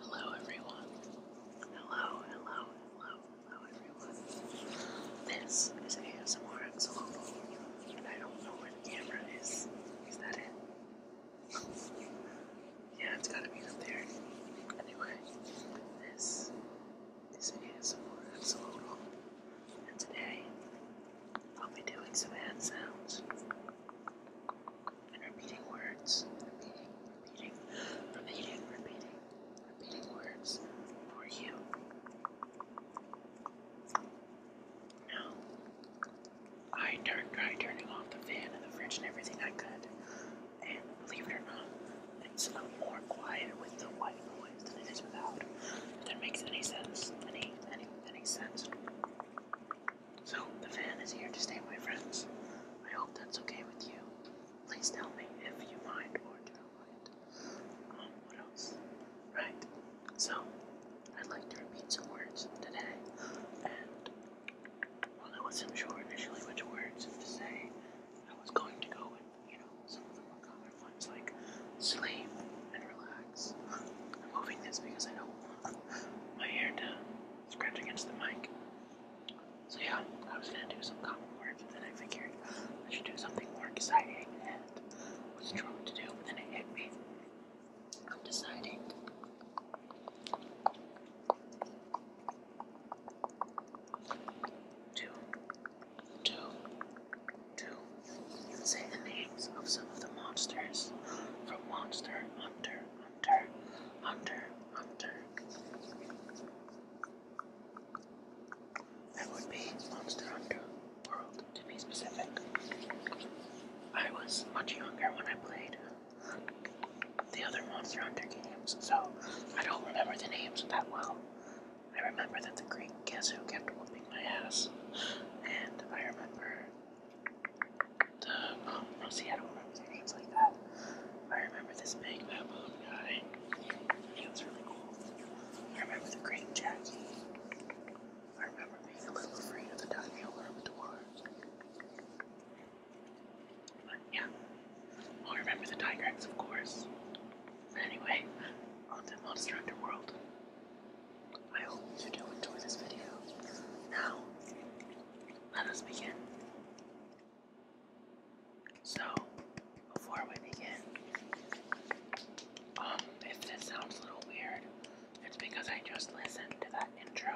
Hello, everyone. Hello, hello, hello, hello, everyone. This is ASMR Global, and I don't know where the camera is. Is that it? yeah, it's gotta be up there. Anyway, this is ASMR Global, and today I'll be doing some hand sounds and repeating words, repeating, repeating, repeating, repeating, repeating words for you. Now, I turned, tried turning off the fan and the fridge and everything I could, and believe it or not, it's a lot more quiet with the white noise than it is without. If that makes any sense, any, any, any sense. So, the fan is here to stay, my friends. I hope that's okay with you. Please tell me if you mind or do not mind. Um, what else? Right. So, I'd like to repeat some words today. And while I wasn't sure initially which words to say, I was going to go with, you know, some of the more common ones like sleep and relax I'm moving this because I don't want my hair to scratch against the mic. So yeah, I was gonna do some common words, but then I figured I should do something more exciting and wasn't to do, but then it hit me. I'm deciding. To, say the names of some of the monsters from Monster hunter, hunter, hunter, hunter. That would be Monster Hunter World, to be specific. I was much younger when I played the other Monster Hunter games, so I don't remember the names that well. I remember that the Greek Kazu kept whooping my ass, and I remember I don't remember their like that. I remember this big baboon guy. He was really cool. I remember the great Jackie. I remember being a little afraid of the Daniel Armador. But yeah. I remember the Tigrex, of course. But anyway, on to Monster Underworld. I hope you do enjoy this video. Now, let us begin. So, before we begin, um, if this sounds a little weird, it's because I just listened to that intro,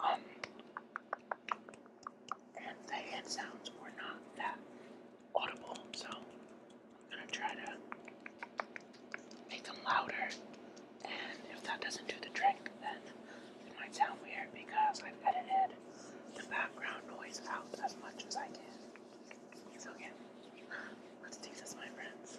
um, and the hand sounds were not that audible, so I'm gonna try to make them louder. And if that doesn't do the trick, then it might sound weird because I've edited the background noise out as much as I can. So yeah, let's do this, my friends.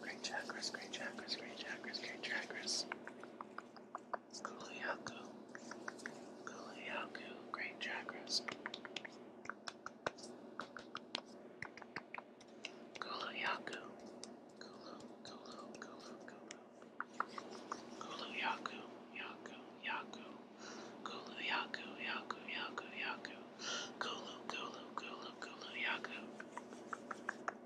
Great chakras, great chakras, great chakras, great chakras. Kuliaku. Kuliaku, great chakras. Kuliaku. Kulu, Kulu, Kulu, Kulu. Kulu Yaku, Yaku, Yaku. Kulu Yaku, Yaku, Yaku, Yaku. Kulu, Kulu, Kulu, Kulu, Yaku.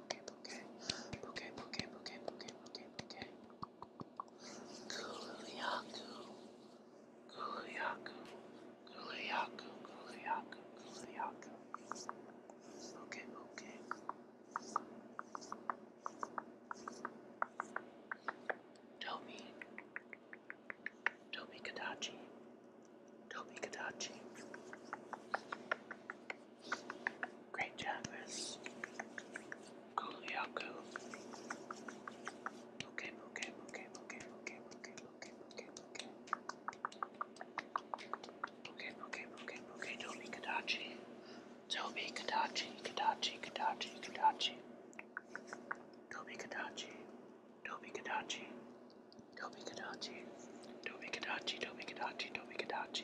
bouquet, bouquet, bouquet, bouquet, bouquet, bouquet, bouquet, bouquet. Kuliaku, kuliaku, kuliaku, kuliaku, kuliaku. Bouquet, bouquet. Toby, Toby Kadachi, Toby Kadachi. Great job, Miss Kuliaku. Okay, okay, okay, okay, okay, okay, okay, okay, okay. Okay, okay, okay, okay, Toby Kadachi. Toby Kadachi, Kadachi, Kadachi, Kadachi. Toby Kadachi. Toby Kadachi. Toby Kadachi. Toby Kadachi, Toby Kadachi, Toby Kadachi.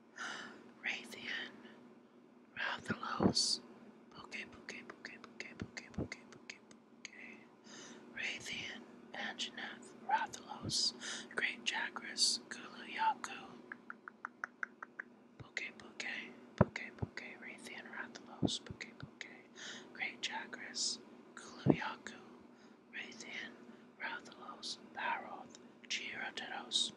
Raytheon, Rathalos, Bouquet, Bouquet, Bouquet, Bouquet, Bouquet, Bouquet, Bouquet, Bouquet, Raytheon, Anjanath, Rathalos, Great Chakras, Gulu Yaku, Bouquet, Bouquet, Bouquet, Bouquet, Rathalos, Bouquet, Bouquet, Great Chakras, Gulu Yaku, Rathalos, Baroth, Chiroteros.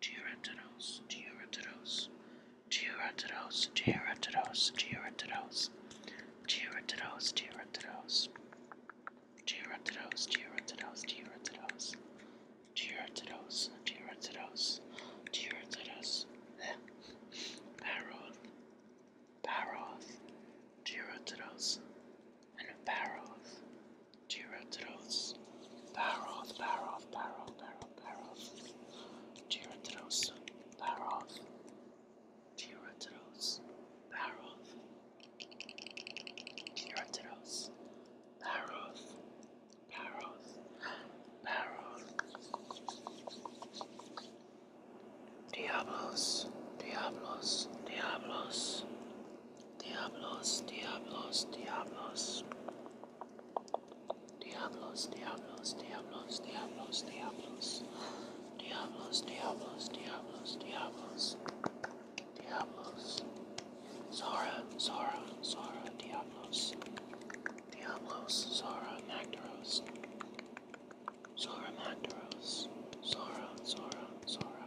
Georantidos, Georantidos, Georantidos, Georantidos, Georantidos, Georantidos, Georantidos, Georantidos, Georantidos, Georantidos, Georantidos, Georantidos, Georantidos, Paroth, Paroth, Georantidos, and Paroth. Giratrots, Baroth, Baroth, Baroth, Baroth, Baroth, Giratrots, Baroth, Giratrots, Baroth, Giratrots, Baroth, Baroth, Diablos, Diablos, Diablos. Diablos, Diablos, Diablos. Diablos, Diablos, Diablos, Diablos, Diablos. Diablos, Diablos, Diablos, Diablos. Diablos. Zora, Zora, Zora, Diablos. Diablos, Zora, Magdaros. Zora, Magdaros. Zora, Zora, Zora,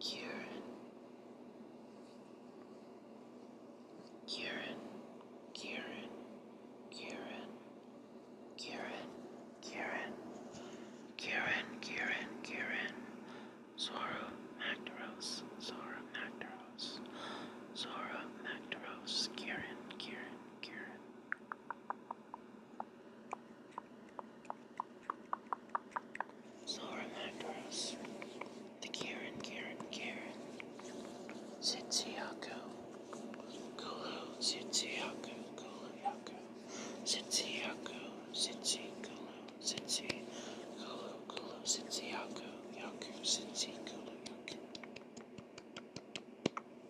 Kieran, Kieran, Kieran, Kieran, Kieran, Kieran, Kieran, Kieran, Kieran, Zora Magdaros, Zora Magdaros, Zora Magdaros, Kieran, Kieran, Kieran. So remind us, the Karen, Karen, Karen, Sitsuyaku, Kulu, Sitsuyaku, Kulu, Yaku, Sitsuyaku, Sitsi, Kulu, Sitsi, Kulu, Kulu, Sitsuyaku, Yaku, Sitsi, Kulu, Yaku.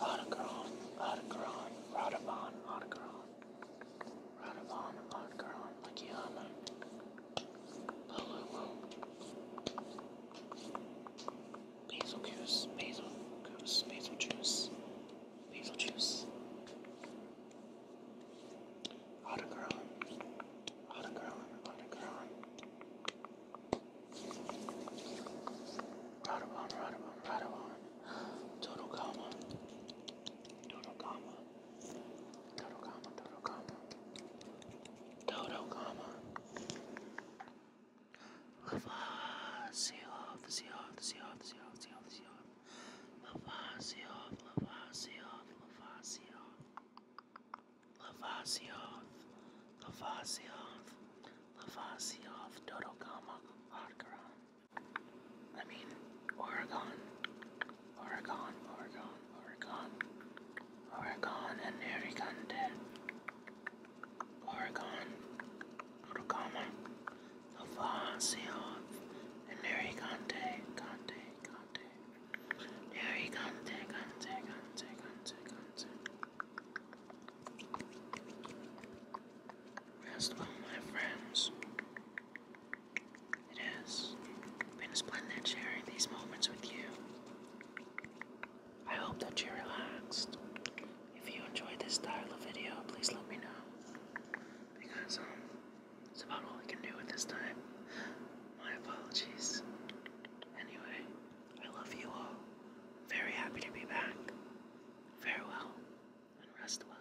Otacron, Otacron, Rodabon, Otacron, Rodabon, Otacron, Lakiyama, Palulu, Basil Goose, Basil Goose, Basil Juice, Basil Juice, Otacron, Otacron, Otacron, Radabon, Radabon, Radabon. Total comma. Total comma. Total comma, total comma. Total comma. Lavasioff, Sioff, Sioff, Sioff, Sioff, Sioff. Lavasioff, Lavasioff, Lavasioff. Lavazioth, Lavazioth, Lavazioth, Dodokama, Odgaron. I mean, Oregon, Oregon, Oregon, Oregon, Oregon, and Narigande, Oregon, Dodokama, Lavazioth, and Narigande, Gante, Gante, Narigande, Gante, Gante, Gante, Gante. Last of my friends, it has been splendid sharing these moments with you. I hope that you're relaxed. If you enjoyed this style of video, please let me know. Because, um, it's about all I can do at this time. My apologies. Anyway, I love you all. Very happy to be back. Farewell and rest well.